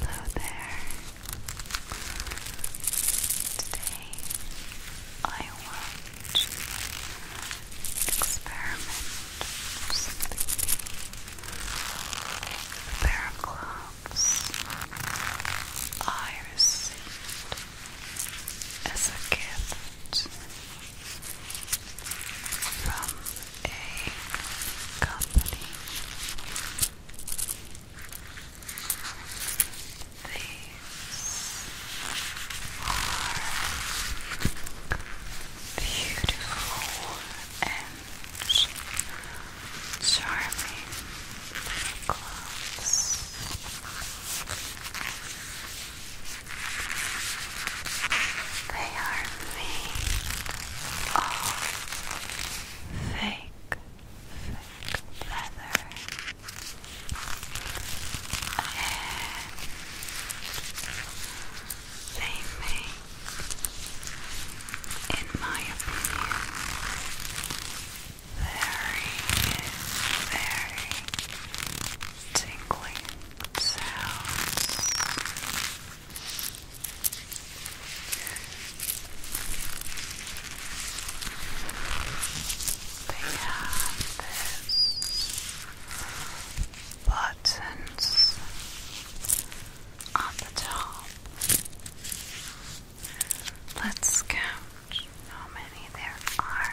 Hello there. Today I want experiment with A pair of gloves I received as a gift from a company. These are beautiful and charming gloves. They are made of fake, fake leather and they make, in my opinion, very, very tingling sounds. They buttons on top. Let's count how many there are.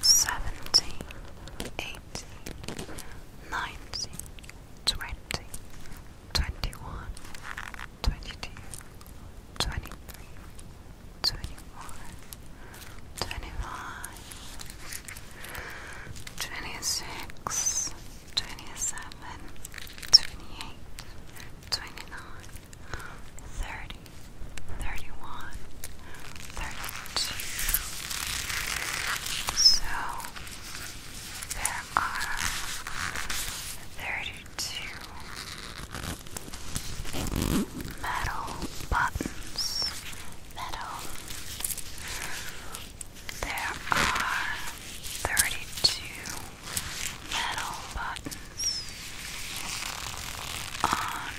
seventy, eighty, ninety, twenty, twenty one, twenty two, twenty three, twenty four, twenty five, twenty six, twenty seven, twenty eight, twenty nine, thirty. 31, 32. So there are 32 metal buttons. Metal. There are 32 metal buttons on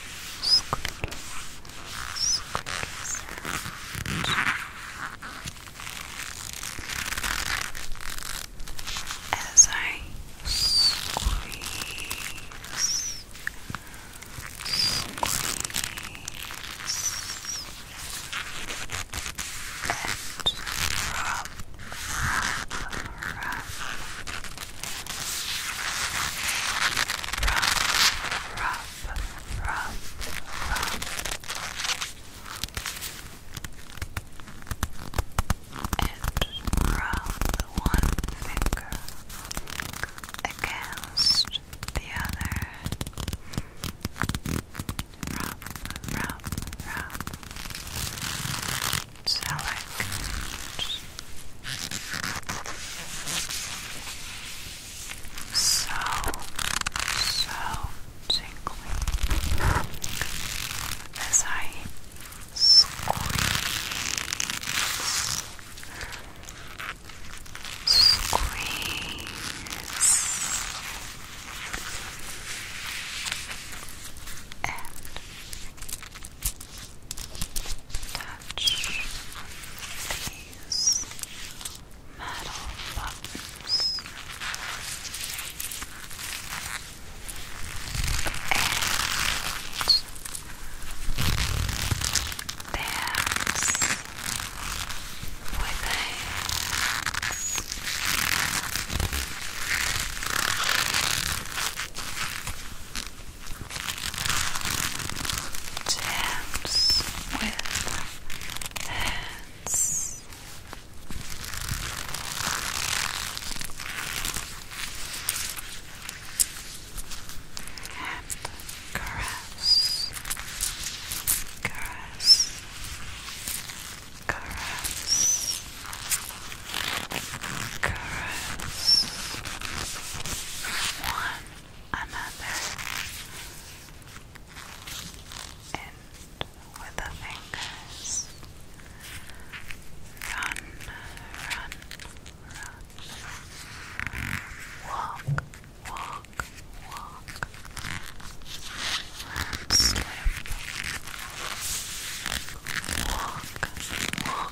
squeaky, squeaky as I squeeze, squeeze and rub, rub, rough, rough, rough, rough, rough, and rub one finger against the other. Rub, rub, rub select so, so tingly as I squeeze squeeze and touch these metal buttons and dance with hands. Jams with hands. And caress, caress, caress, caress, one another and with the fingers run, run, run walk, walk, walk slip walk, walk,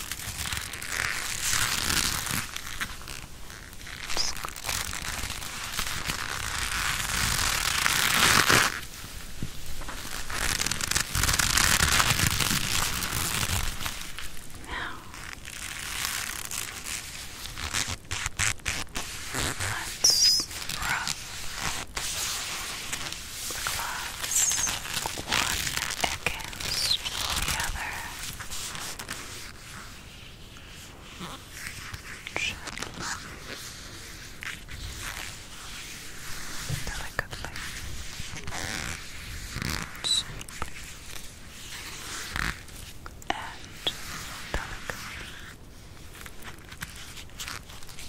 Now, let's rub gloves, one against the other. Delicately. And delicately.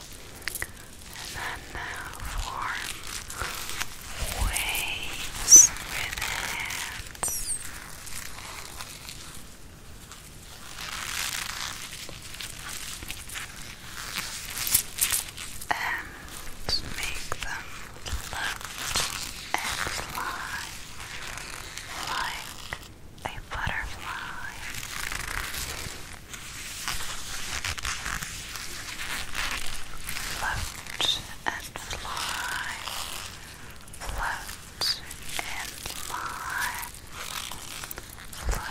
And then form waves with hands. And make them float and fly like a butterfly. Float and fly. Float and fly. Float and fly.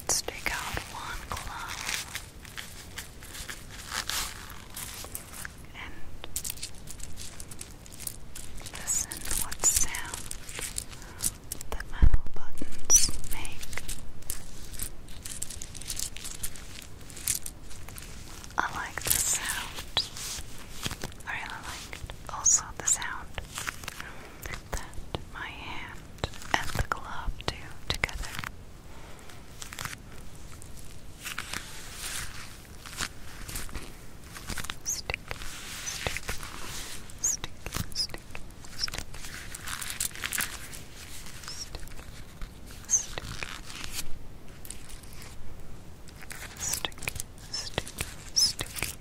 Let's take out one glove and listen what sound the metal buttons make. I like the sound. I really like also the sound that my hand and the glove do together. Stick, stick, stick, stick, stick, stick, stick, stick, stick,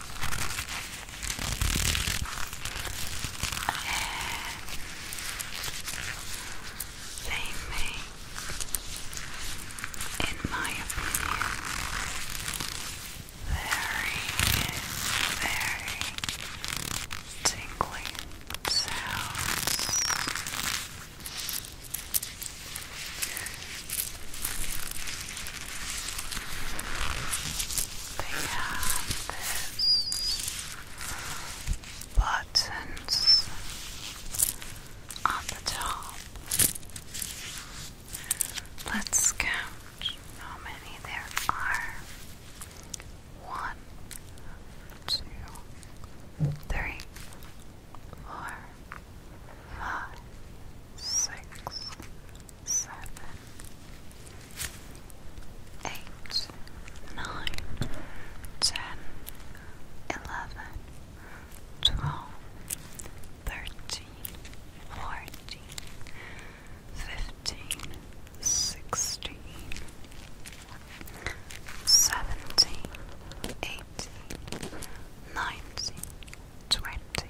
They make, in my opinion, very, very tingling sounds. They have buttons on the top. Let's count how many there are. One, two, three, four, five, six, seven, eight, nine, ten, eleven, twelve, thirteen, fourteen, fifteen, sixteen, seventeen, eighteen, nineteen, twenty.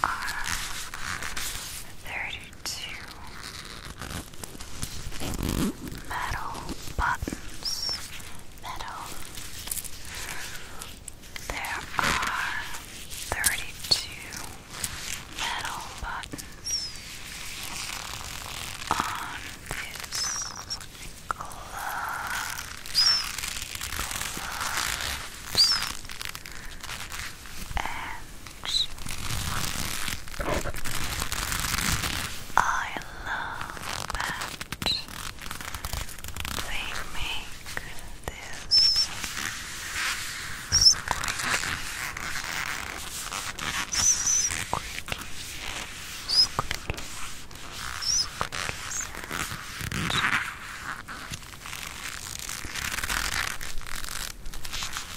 there are thirty-two metal buttons. There are thirty-two metal buttons on this gloves lips and I love that they make this squeaky, squeaky, squeaky, squeaky sound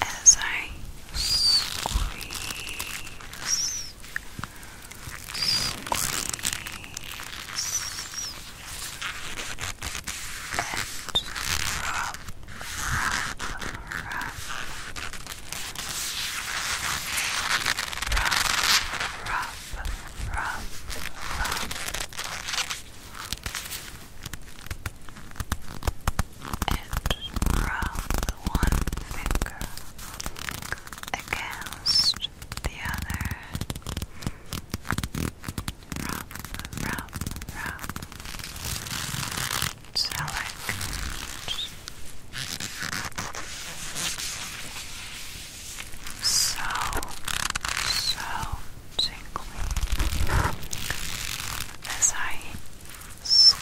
as I squeeze, squeeze, rub, rub, rub, rub, rub, rub, rub rub one finger against the other. Rub, rub, rub. Select so, so tingly as I squeeze,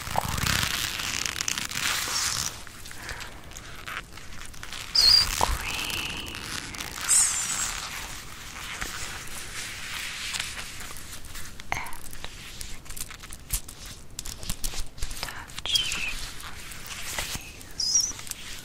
squeeze and touch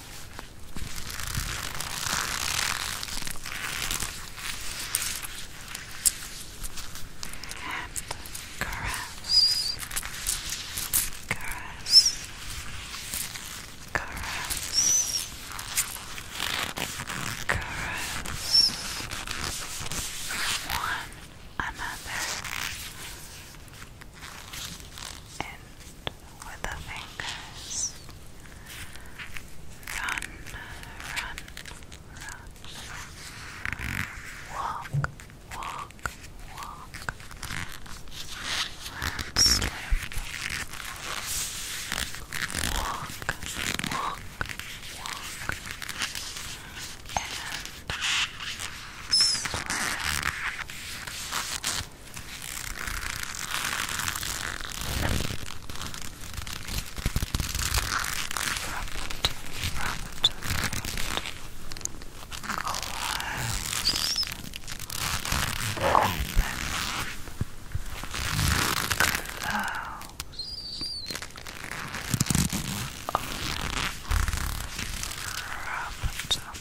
And caress, caress, caress, caress one another in with the fingers. Run, run, run. Walk, walk, walk. slip. Walk, walk, walk. And slip. Close. Close.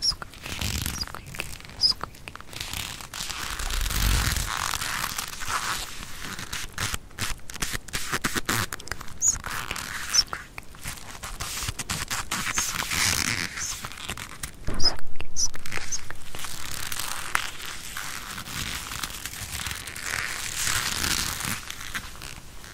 Squeaky, squeaky, squeaky. Squeaky, squeaky. Squeaky, squeaky, squeaky.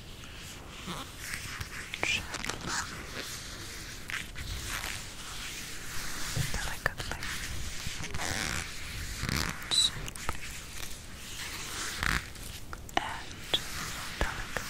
Delicately. Simply. And delicately. And delicately.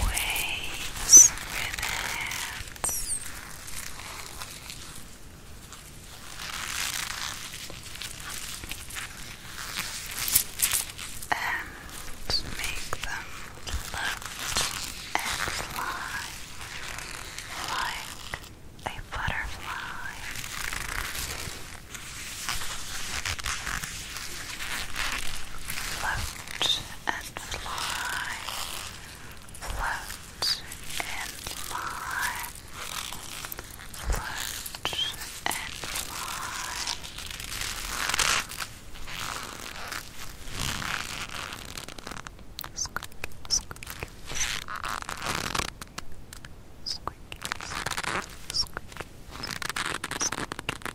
waves with hands. And make them float and fly like a butterfly. Float and fly, float and fly, float and fly. squeak, squeak, squeak, squeak, squeak, squeak,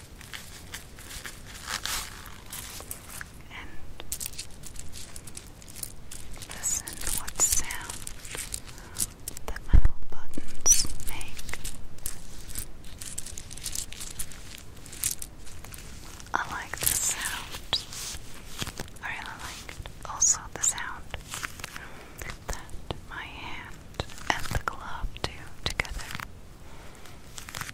and listen what sound the mouth buttons make. I like the sound. I really like also the sound that my hand and the glove do together. Stick,